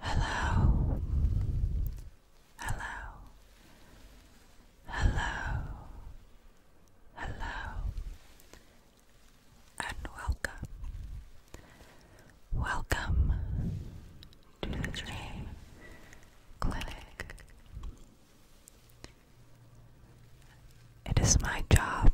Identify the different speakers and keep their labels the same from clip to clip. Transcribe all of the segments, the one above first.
Speaker 1: Hello, hello, hello, hello, and welcome, welcome to the Dream Clinic. It is my job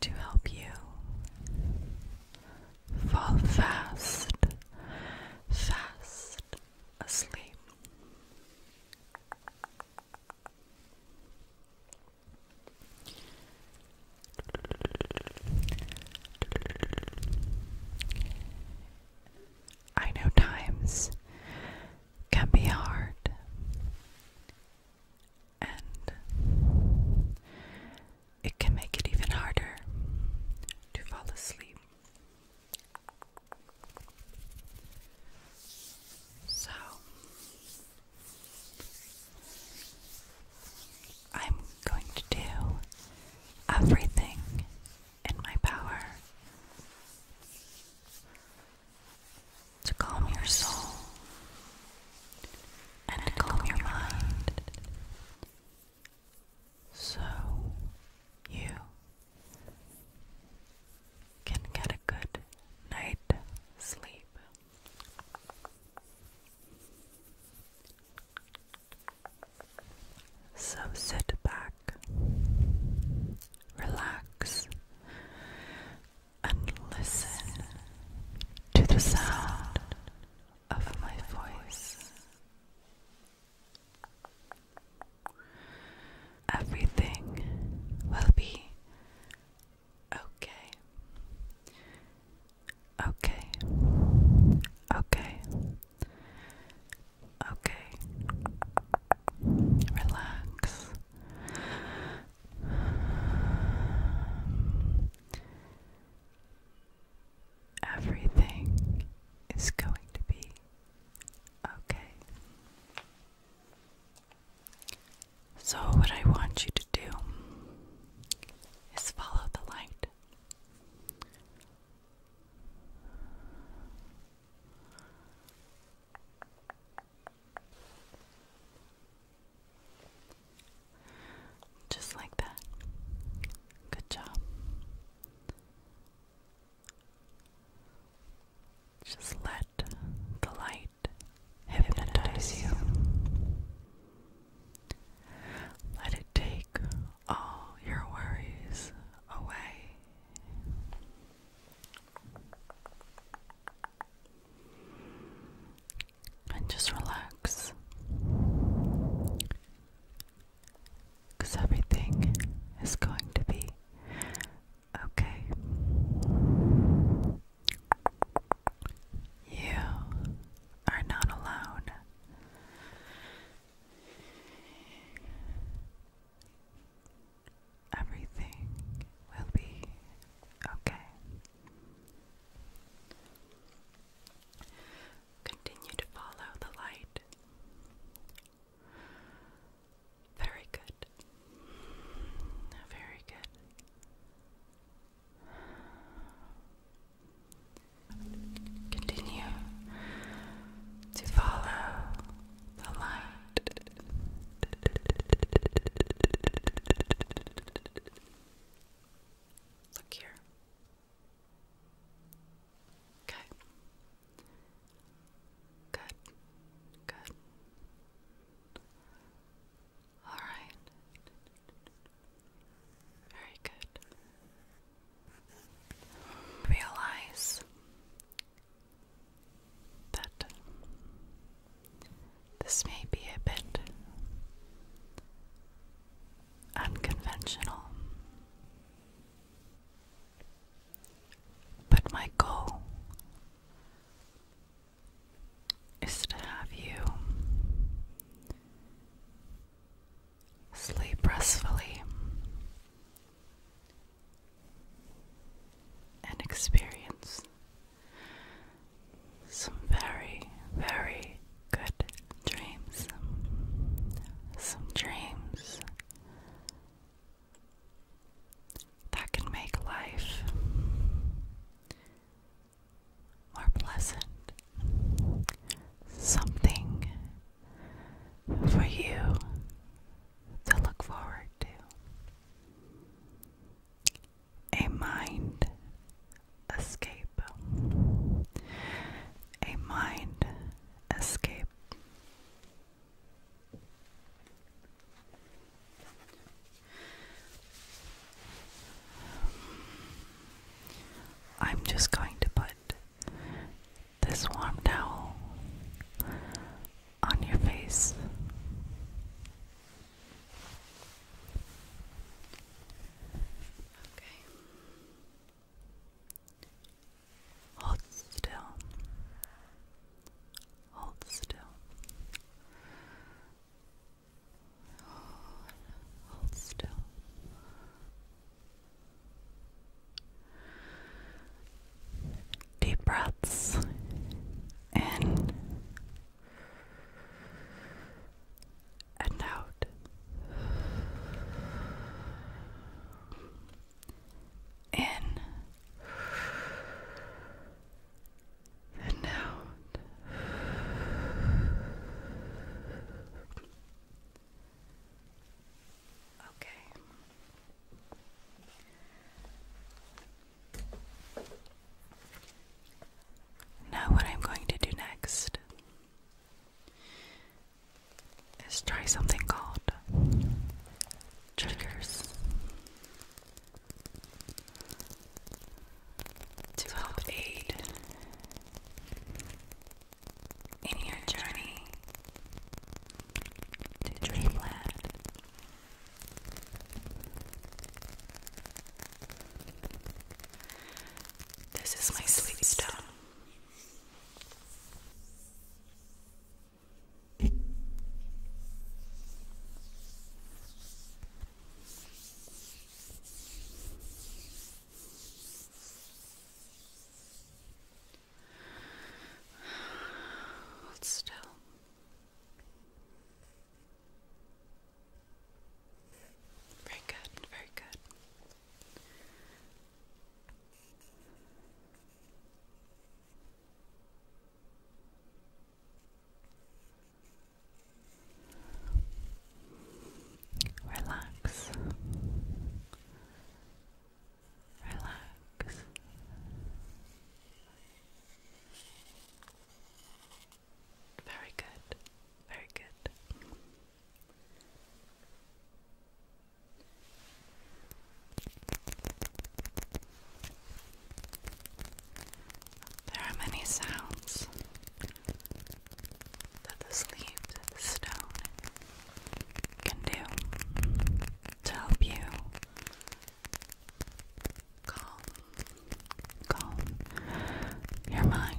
Speaker 1: to help you fall fast, fast asleep. I know times can be hard, and it can make it even harder to fall asleep. So, I'm going to do everything in my power to calm your soul and to calm your mind so you can get a good night's sleep. So sit back, relax, and listen to the sound of my voice. Everything will be okay. Okay. Okay. Okay. Relax. Everything is going to be okay. So, what I want you to do is follow the light. Just like that. Good job. Just let the light hypnotize you. Let it take all your worries away. And just relax. Because everything is going to be okay. You are not alone. Everything will be okay. Continue to follow the light. Very good. Very good. Continue to follow the line. Look here. Okay. Good. Good. All right. Very good. Realize that this may be a bit unconventional, but my goal is to have you sleep restfully and experience some very, very good dreams. Some dreams that can make life or pleasant. Something for you to look forward to. A mind escape. A mind escape. I'm just going to put this warm towel on your face. Okay. Hold still. Hold still. Hold, still. Deep breaths in and out. In and out. Okay. Now, what I'm going to do next is try something called triggers to help aid in your journey to dreamland. This is my sweet stone. Hold still. Very good, very good. Relax. Relax. Very good. Very good. There are many sounds that the sleeved stone can do to help you calm, calm your mind.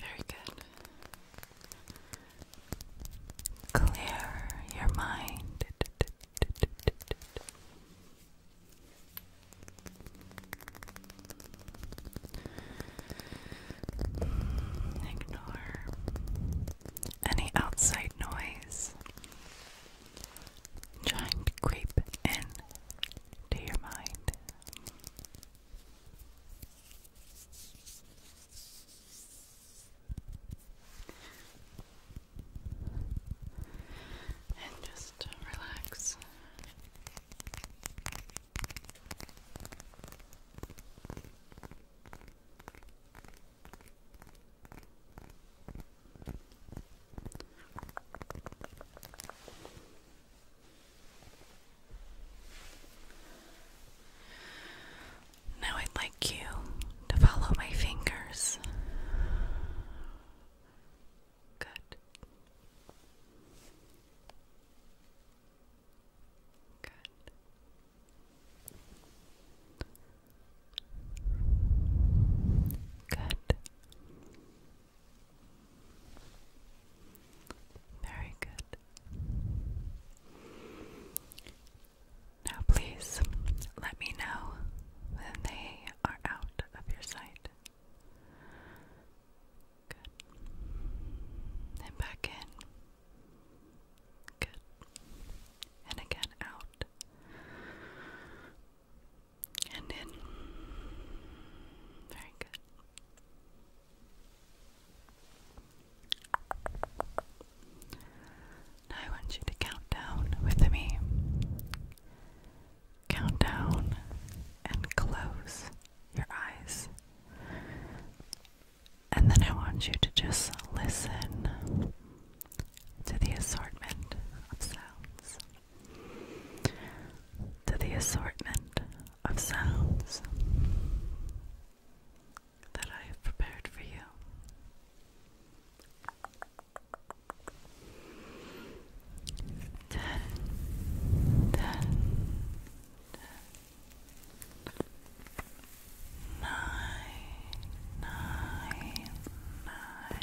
Speaker 1: Very good. Clear your mind. Ignore any outside noise trying to creep in to your mind. And just uh, relax. Now I'd like you to follow my fingers. Good. Good. Good. Very good. Now, please let me know when they are out of your sight. Good. And back in. Good. And again out and in. Very good. I want you to count down with me. Count down and close your eyes. And then I want you to just listen to the assortment of sounds to the assortment of sounds that I have prepared for you. Ten, ten, ten, nine, nine, nine,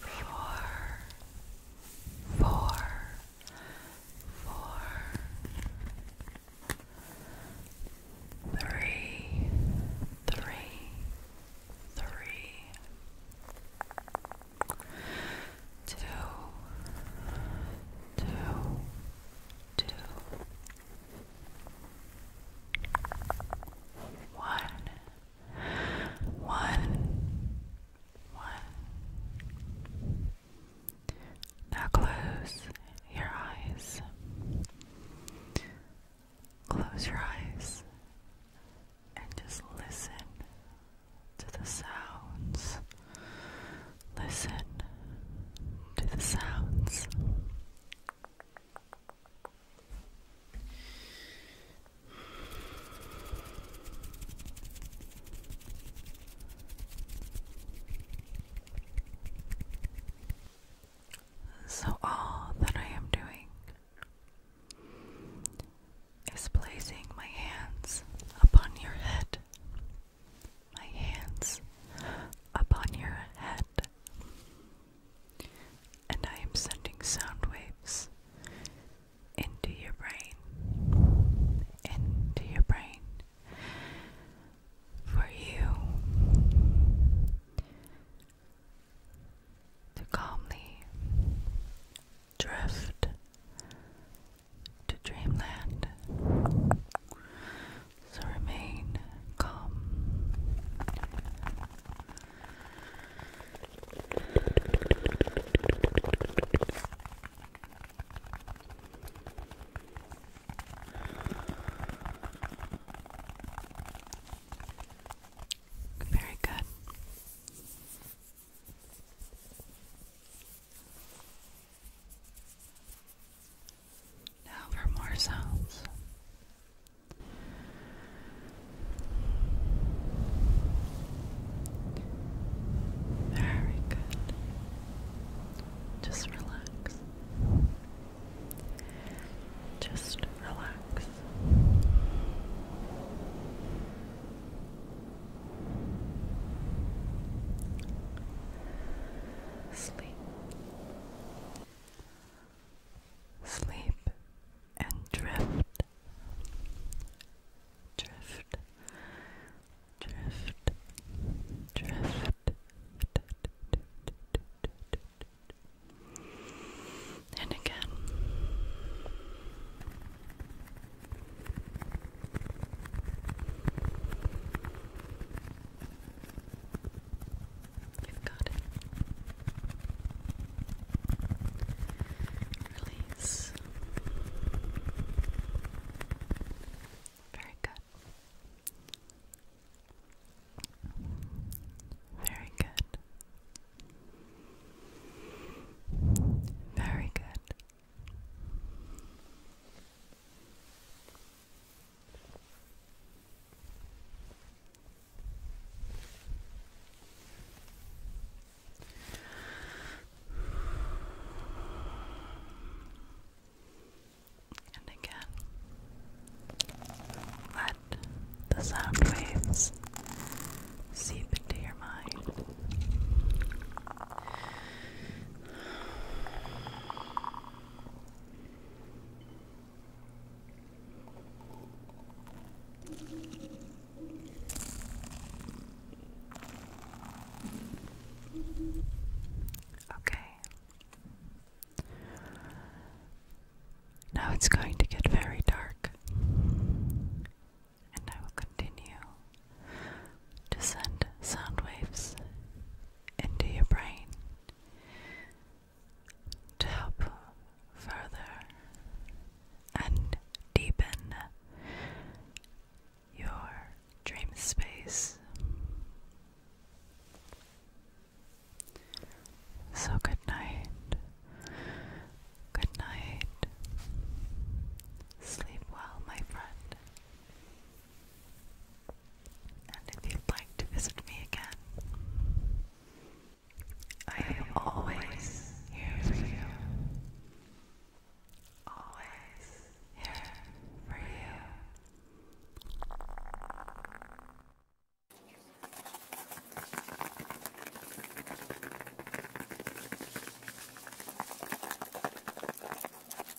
Speaker 1: four, four, four, three, three, three, two, two, two. One, one, one. Now close your eyes. Close your eyes and just listen to the sounds. Listen to the sounds so, all that I am doing is placing my hands upon your head my hands upon your head, and I am sending sound waves into your brain, into your brain for you to calmly drift to dreamland. So remain calm. Very good. Now for more sounds. Very good. Just relax. Just relax. Sleep. Sleep and drift, drift, drift, drift. And again. You've got it. release. Very good. Very good. Very good. And again, let the sound waves seep into your mind. Okay. Now it's going to get very dark, and I will continue to send sound waves into your brain to help further and deepen your dream space. So, good night. Good night. Sleep well, my friend. And if you'd like to visit me again, I am always here for you. Always here for you.